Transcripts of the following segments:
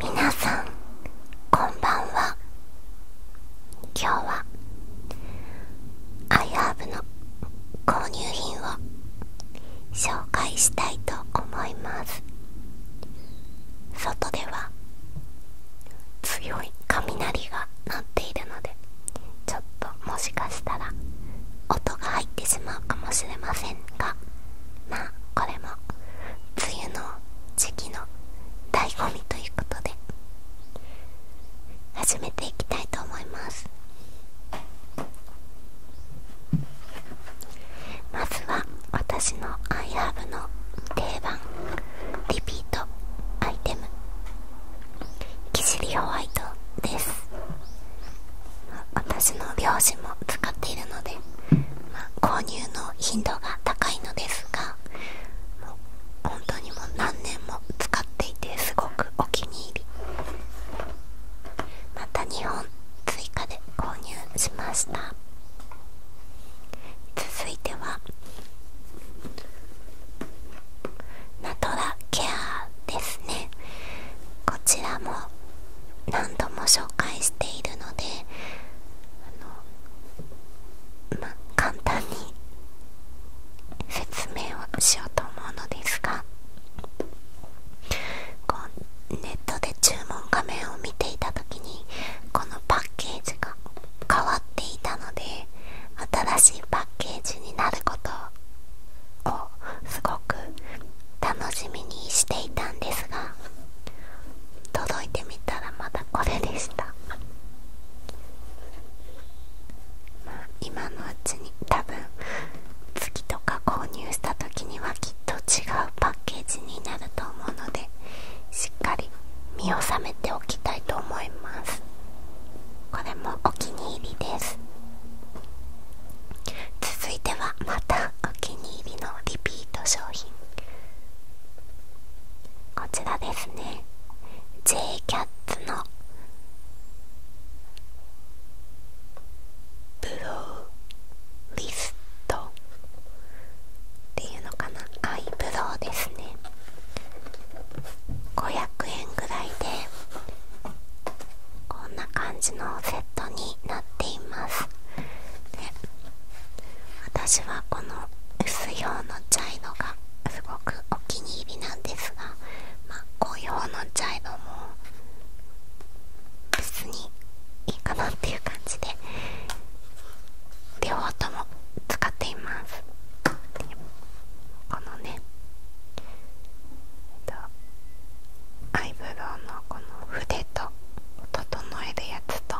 皆さんこんばんは今日はアイハーブの購入品を紹介したいと思います外では強い雷が鳴っているのでちょっともしかしたら音が入ってしまうかもしれませんがまあこれも梅雨の時期の醍醐味ということで始めていきたいと思いますまずは私のアイハーブの定番リピートアイテムキシリホワイトです私の両親も使っているので、購入の頻度が高いのですが本当にもう何年も使っていてすごくお気に入りまた2本追加で購入しました続いてはナトラケアですねこちらも何度も紹介しているので簡単に説明をしようと思うのですがこうネットで注文画面を見ていた時にこのパッケージが変わっていたので新しいパッケージになることをすごく楽しみにしていたんですが届いてみたらまたこれでした、今のうちに多分月とか購入した時にはきっと違うパッケージになると思うのでしっかり身を覚めておきたいと思いますこれもお気に入りです続いてはまたお気に入りのリピート商品こちらですね J キャッツのブローリストっていうのかなアイブロウですね500円ぐらいでこんな感じのセットになっています私はこの薄い方の茶色がすごくお気に入りなんですが、まあ、この茶色も普通にいいかなっていう感じで両方とも使っていますこのね、えっと、アイブロウのこの筆と整えるやつと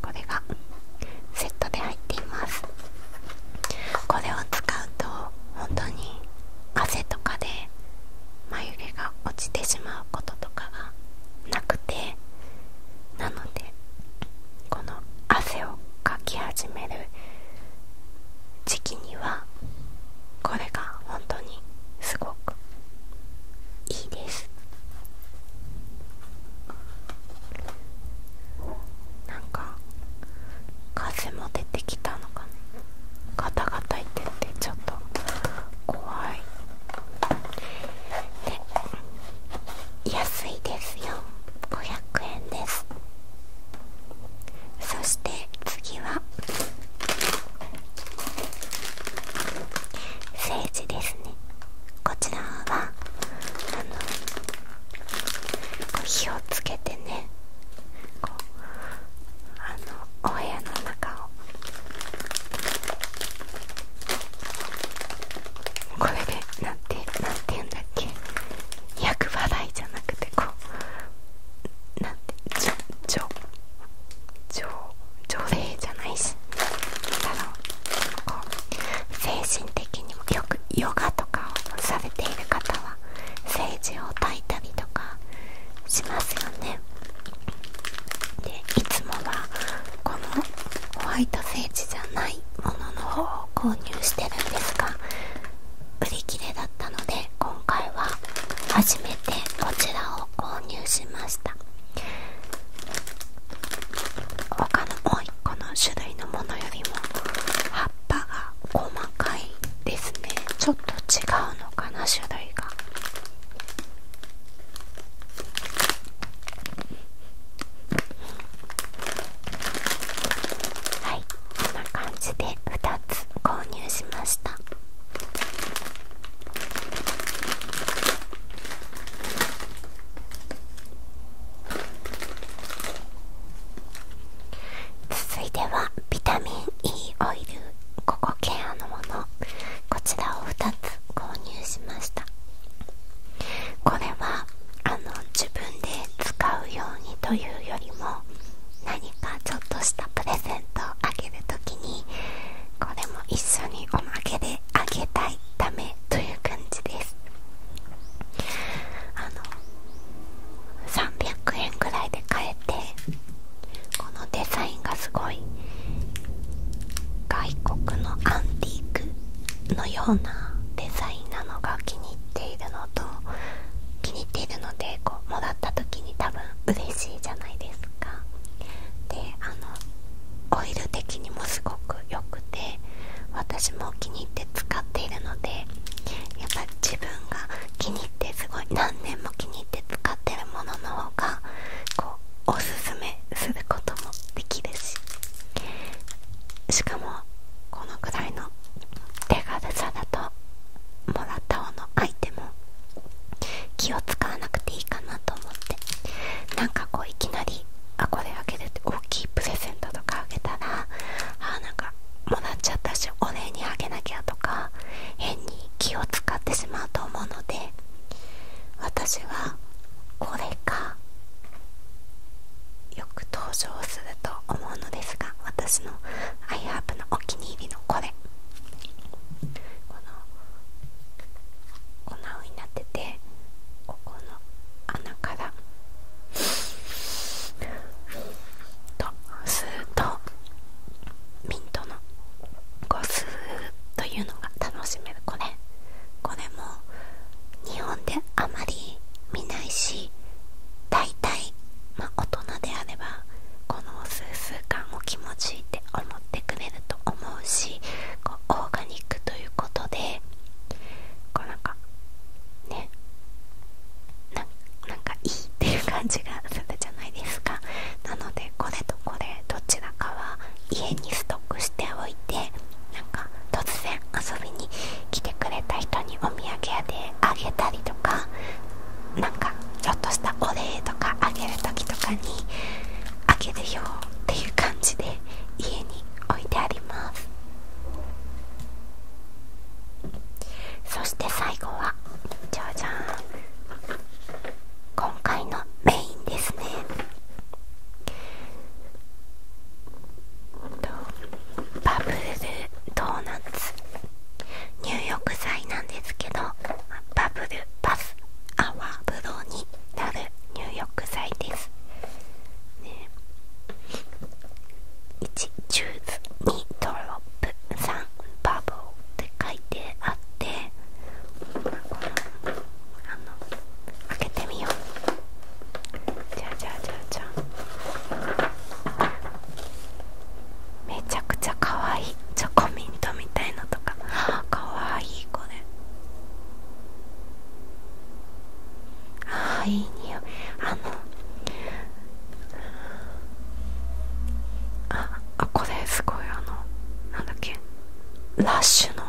これがセットで入っていますこれを使うと本当に汗とかで眉毛が落ちてしまうこととかがなくてなのでこの汗をかき始める時期にはこれが本当にすごくいいですなんか風も出てきたのかねガタガタいっててちょっと怖いで安いですよ500円ですそして次はセーですねこちらはあのこう火をつけてねこうあのお部屋の中をこれでなんてなんて言うんだっけ厄払いじゃなくてこうなんてじょじょ女性じゃないしだろこう精神的にもよくヨガとかをされている方は政治を抱いたりとかしますよねでいつもはこのホワイトセーじゃないものの方を購入してるんですが売り切れだったので今回は初めてこちらを購入しました他のもう1個の種類のものよりも葉っぱが細かいですねちょっと違うのかな種類がはいこんな感じで2つ購入しました続いてはビタミン E オイルココケアのものこちらを2つ購入しましたこれは自分で使うようにというよりも何かちょっとしたプレゼントをあげまげるにこれも一緒におまけであげたいためという感じですあの300円くらいで買えてこのデザインがすごい外国のアンティークのようなデザインなのが気に入っているのと気に入っているのでこうもらった時多分嬉しいじゃないですかであのオイル的にもすごく良くて私も気に入って使っているのでやっぱ自分が気に入ってすごい何年も気に入って使ってるものの方がこうおすすめすることもできるししかもこのくらいの手軽さだともらった方のアイテム気を使わなくていいかなと思ってなんかこういきなりあこれあげるって大きいプレゼントとかあげたらあなんかもらっちゃったしお礼にあげなきゃとか変に気を使ってしまうと思うので私はこれかよく登場すると思うのですが私のアイハー b のお気に入りのこれこの粉になっててここの穴からとスーッとミントのこうスーッというのが楽しめるこれこれも日本であまり見ないし大体まあ大人であればこの数数感を気持ちいいって思ってくれると思うしこうオーガニックということでこうなんかねなんかいいっていう感じがするじゃないですかなのでこれとこれどちらかは家にストックしておいてなんか突然遊びに来てくれた人にお土産屋であげたりとかなんかちょっとしたお礼とかあげる時とかにあげるよっていう感じで家に置いてありますそして最後はじゃじゃん今回のメインですねバブルドーナツ入浴剤なんですけどバブルパス泡風呂になる入浴剤です、ね、1チューズ2ドロップ3バブルって書いてあってあの開けてみようじゃあじゃあじゃあじゃあめちゃくちゃかわいいチョコミントみたいのとかかわ いいこれああいい匂いあのああこれすごいあのなんだっけラッシュの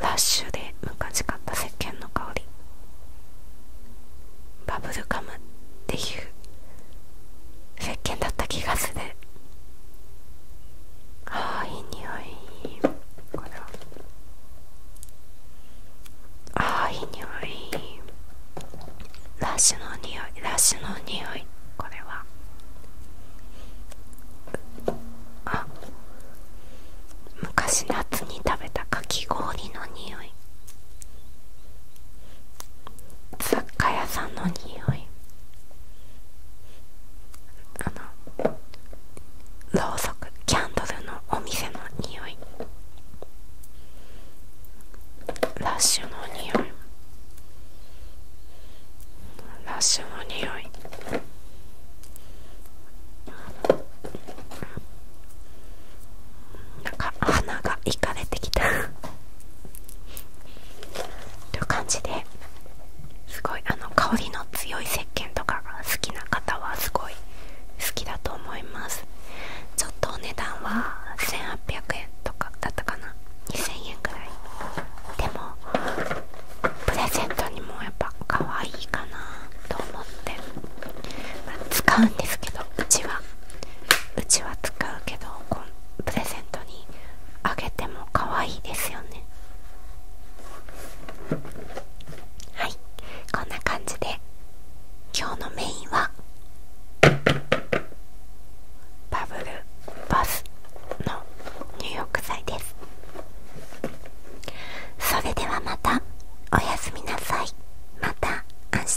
ラッシュで昔買った石鹸の香りバブルガムっていう石鹸だった気がするああいい匂いこれはああいい匂いラッシュの匂いラッシュの匂いこれはあ昔夏に食べたかき氷の匂い雑貨屋さんの匂いあのろうそくキャンドルのお店の匂いラッシュの匂いラッシュの匂いなんか鼻がいかれてきたという感じですごいあの香りの強い石鹸とかが好きな方はすごい好きだと思いますちょっとお値段は1800円とかだったかな2000円ぐらいでもプレゼントにもやっぱ可愛いかなと思って、使うんですけどうちはうちは使うけどプレゼントにあげても可愛いですよねはいこんな感じで今日のメインはバブルバスの入浴剤ですそれではまたおやすみなさいまた明日